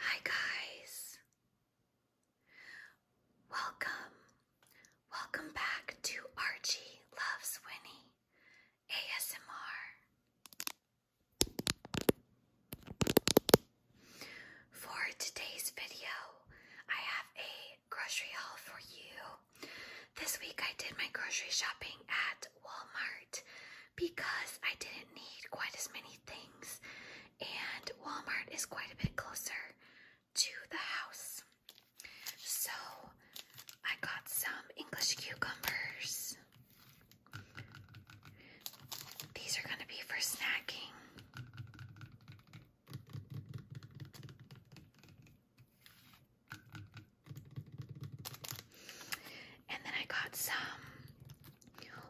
Hi, guys. Welcome. Welcome back to Archie Loves Winnie ASMR. For today's video, I have a grocery haul for you. This week I did my grocery shopping at Walmart because I didn't need quite as many things, and Walmart is quite a bit closer to the house. So I got some English cucumbers. These are going to be for snacking. And then I got some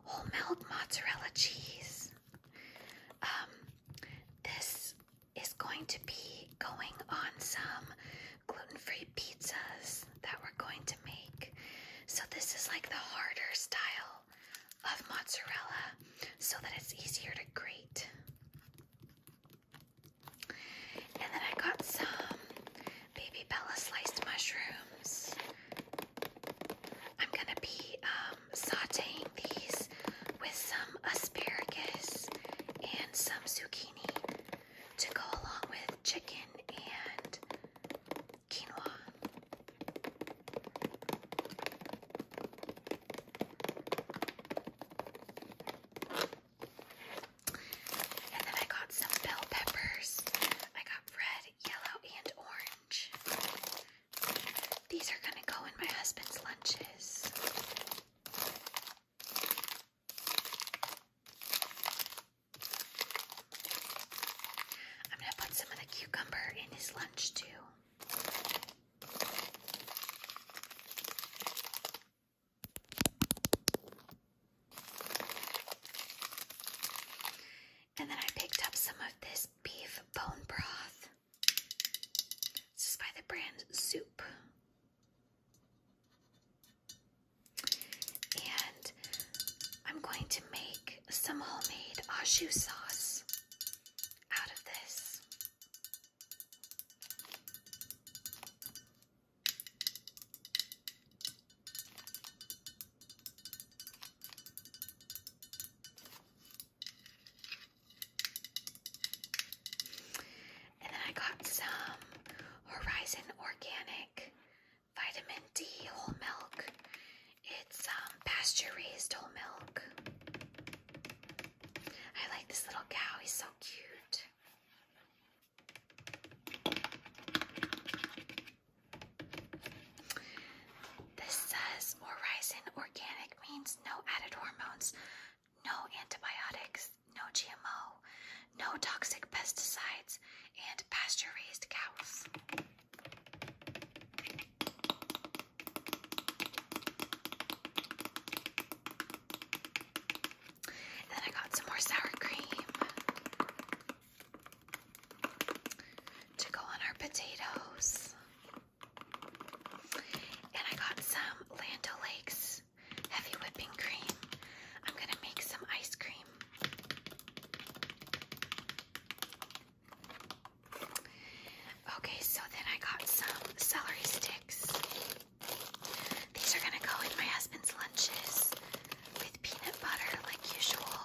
whole milk mozzarella cheese. Um, this is going to be going on some gluten-free pizzas that we're going to make. So this is like the harder style of mozzarella so that it's easier to grate. And then I got some baby Bella sliced mushrooms. I'm gonna be um, sauteing these with some asparagus and some zucchini to go along with chicken and quinoa. And then I got some bell peppers. I got red, yellow, and orange. These are gonna go in my husband's lunches. I'm gonna put some of the cucumber in his lunch too. And then I picked up some of this beef bone broth. This is by the brand Soup. And I'm going to make some homemade ashu sauce out of this. And then I got some Horizon Organic Vitamin D whole milk. It's um, pasture raised whole milk. I like this little cow, he's so cute. This says Horizon Organic means no added hormones, no antibiotics, no GMO, no toxic pesticides, and pasture raised cows. And then I got some more sour cream to go on our potatoes. And I got some Lando Lakes heavy whipping cream. I'm going to make some ice cream. Okay, so then I got some celery sticks. These are gonna go in my husband's lunches with peanut butter, like usual.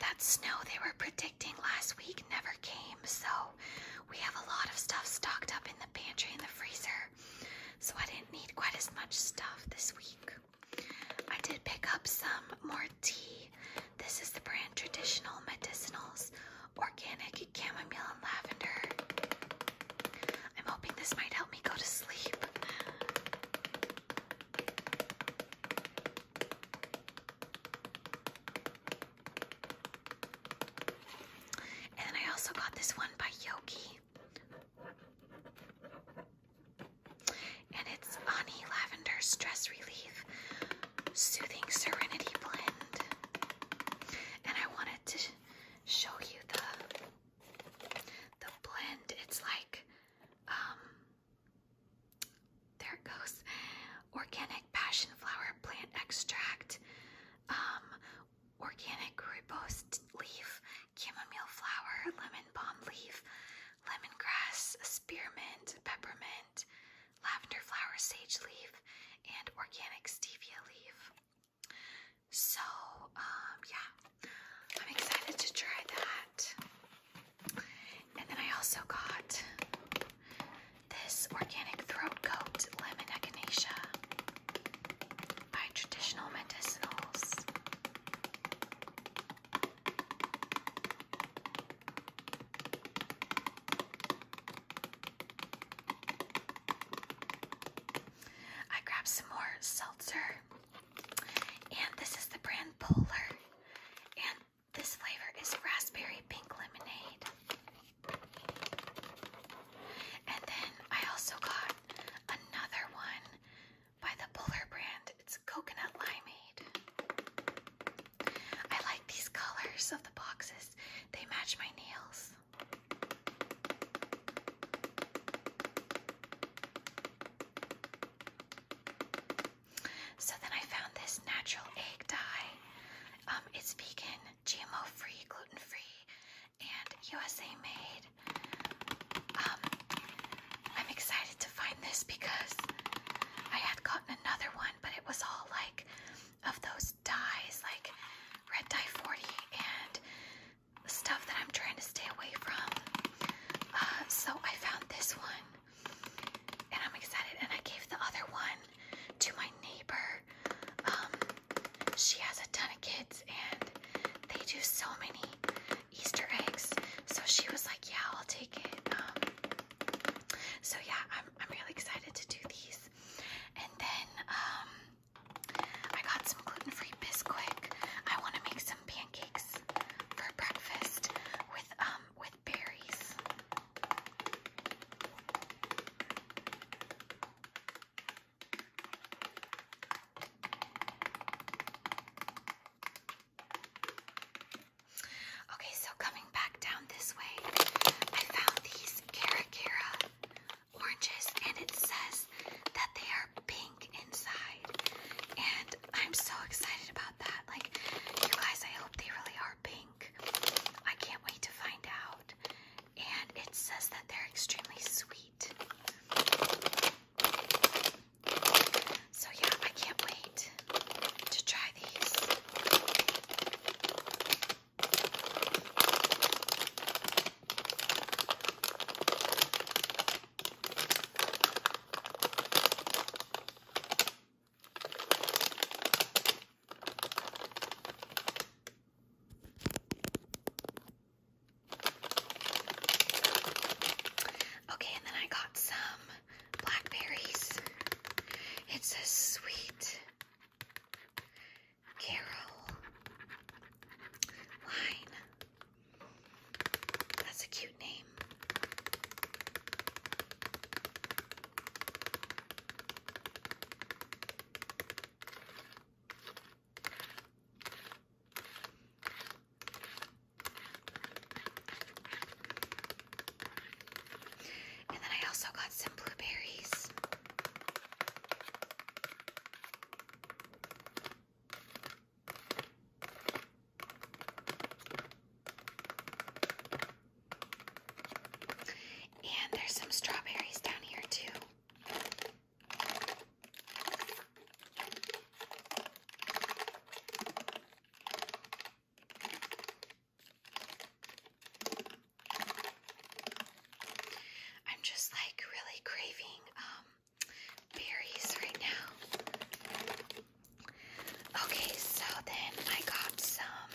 That snow they were predicting last week never came, so we have a lot of stuff stocked up in the pantry and the freezer. So I didn't need quite as much stuff this week. I did pick up some more tea. This is the brand Traditional Medicinals Organic Chamomile and Lavender. I'm hoping this might help me go to sleep. And I also got this one by Yogi. And it's Honey Lavender Stress Relief Soothing Serenity Blend. And I wanted to show you the the blend. It's like um there it goes. Organic passion flower plant extract, um, organic ribose leaf, chamomile flower, lemon balm leaf, lemongrass, spearmint, peppermint, lavender flower, sage leaf, and organic stevia leaf. So, um, yeah, I'm excited to try that. And then I also got this organic throat coat lemon echinacea by Traditional Medicinals. I grabbed some more seltzer, and this is the brand Polar, this flavor is raspberry pink lemonade. And then I also got another one by the Polar brand. It's coconut limeade. I like these colors of the boxes, they match my nails. So then I found this natural egg dye. Um, it's vegan, GMO free, gluten free, and USA made. Um, I'm excited to find this because I had gotten another one, but it was all like of those dyes, like red dye 40 and stuff that I'm trying to stay away from. Uh, so I found this one and I'm excited. And I gave the other one to my neighbor. Um, she has a ton of kids, and they do so many Easter eggs. So she was like, "Yeah, I'll take it." Um, so yeah, I'm I'm really excited to do these. And then um, I got some gluten-free Bisquick. I want to make some pancakes for breakfast with um, with berries. Okay, so coming back down this way, I found these Cara Cara oranges, and it says that they are pink inside. And I'm so excited about like, you guys, I hope they really are pink. I can't wait to find out. And it says that they're extremely sweet. So, yeah, I can't wait to try these. Okay, and then I got some blackberries. It says sweet Carol Line. That's a cute name. And then I also got some blueberries. And there's some strawberries down here too. I'm just like really craving um, berries right now. Okay, so then I got some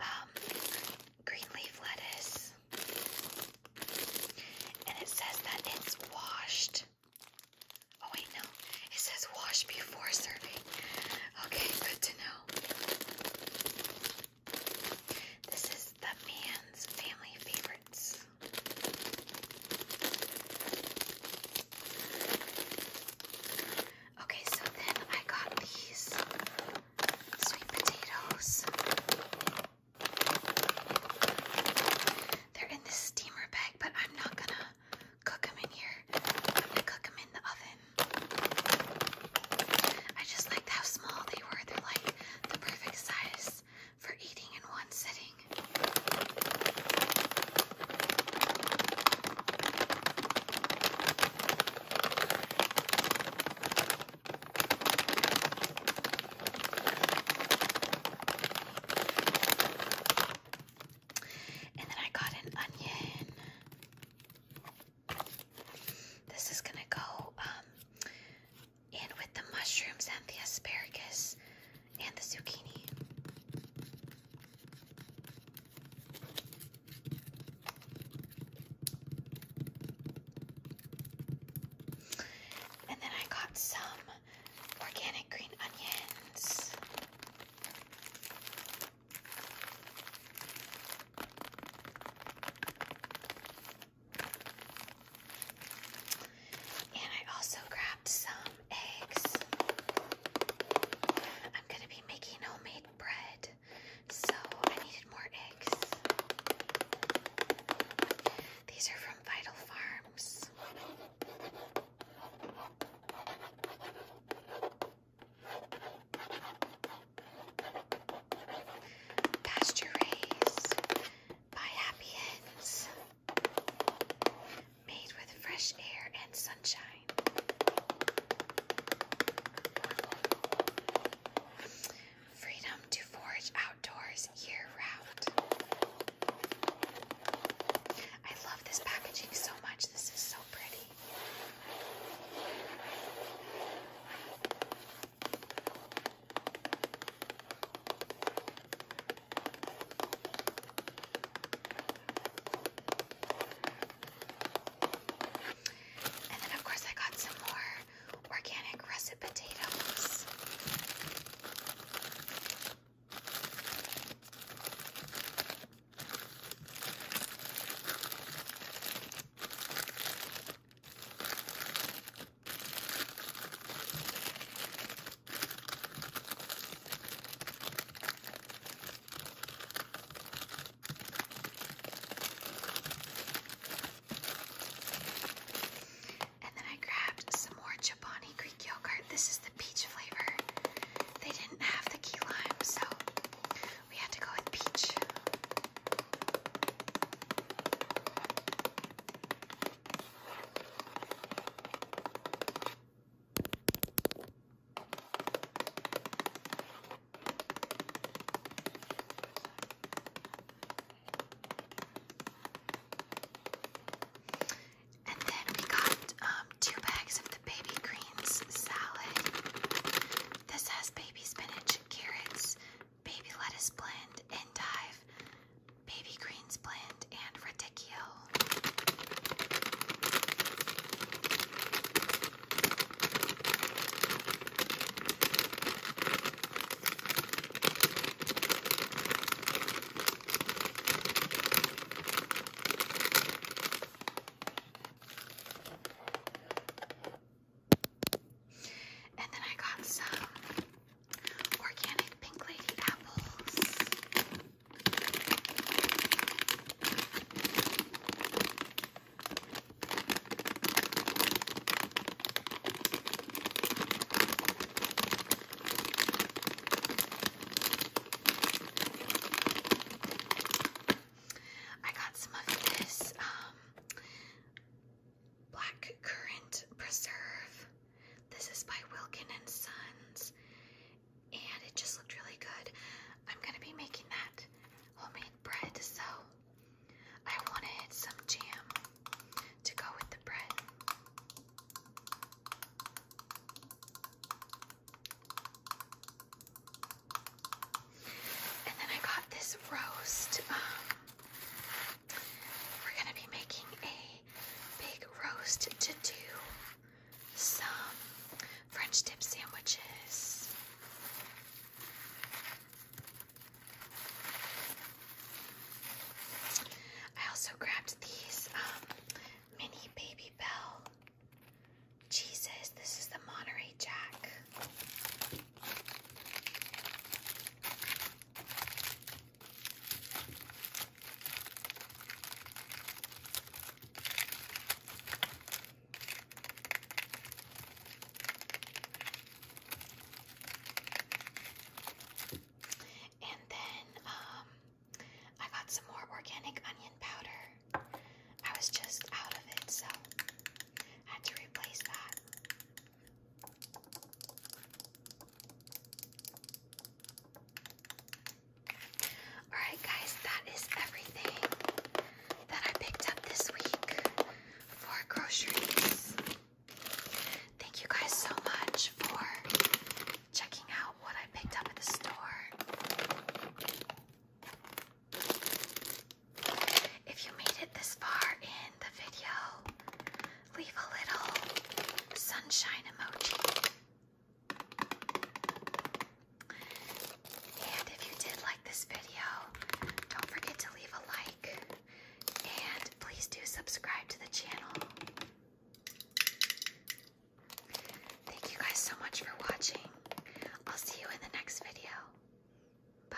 um, green leaf lettuce, and it says that it's washed. Oh, wait, no, it says wash before serving. Okay, good to know. This is the man's family favorites. Okay, so then I got these sweet potatoes. They're in the steamer bag, but I'm not gonna cook them in here. I'm gonna cook them in the oven. I just liked how small they were. They're like the perfect size for eating in one sitting. And then I got an onion. This is gonna go um, in with the mushrooms and the asparagus and the zucchini. And then I got some organic green onions. And I also grabbed some eggs. I'm going to be making homemade bread, so I needed more eggs. These are from Vital Farms. Pasture raised by Happy Hens made with fresh air and sunshine. Freedom to forage outdoors year round. I love this packaging so much. This is so pretty. And then, of course, I got some more organic russet potatoes. And then I grabbed some more Chobani Greek yogurt. This is the peach flavor. They didn't have the key lime, so we had to go with peach. And then we got um, two bags of the baby greens salad. This has baby spinach, carrots, baby lettuce blend, endive, baby greens blend, and radicchio. And then I got some organic pink lady apples. I got some of this um, black currant preserve this is by Wilkin and Sons, and it just looked really good. I'm gonna be making that homemade bread, so I wanted some jam to go with the bread. And then I got this roast. Um, we're gonna be making a big roast to do some French dip sandwiches. I also grabbed these um, mini Baby Bell Jesus, This is the Monterey Jack. And then um, I got some more organic onion powder. I was just out of it, so I had to replace that. Alright, guys, that is everything that I picked up this week for groceries. Thank you guys so much for checking out what I picked up at the store. If you made it this far in the video, leave a little sunshine emoji. And if you did like this video, don't forget to leave a like. And please do subscribe to the channel. Thank you guys so much for watching. I'll see you in the next video. Bye.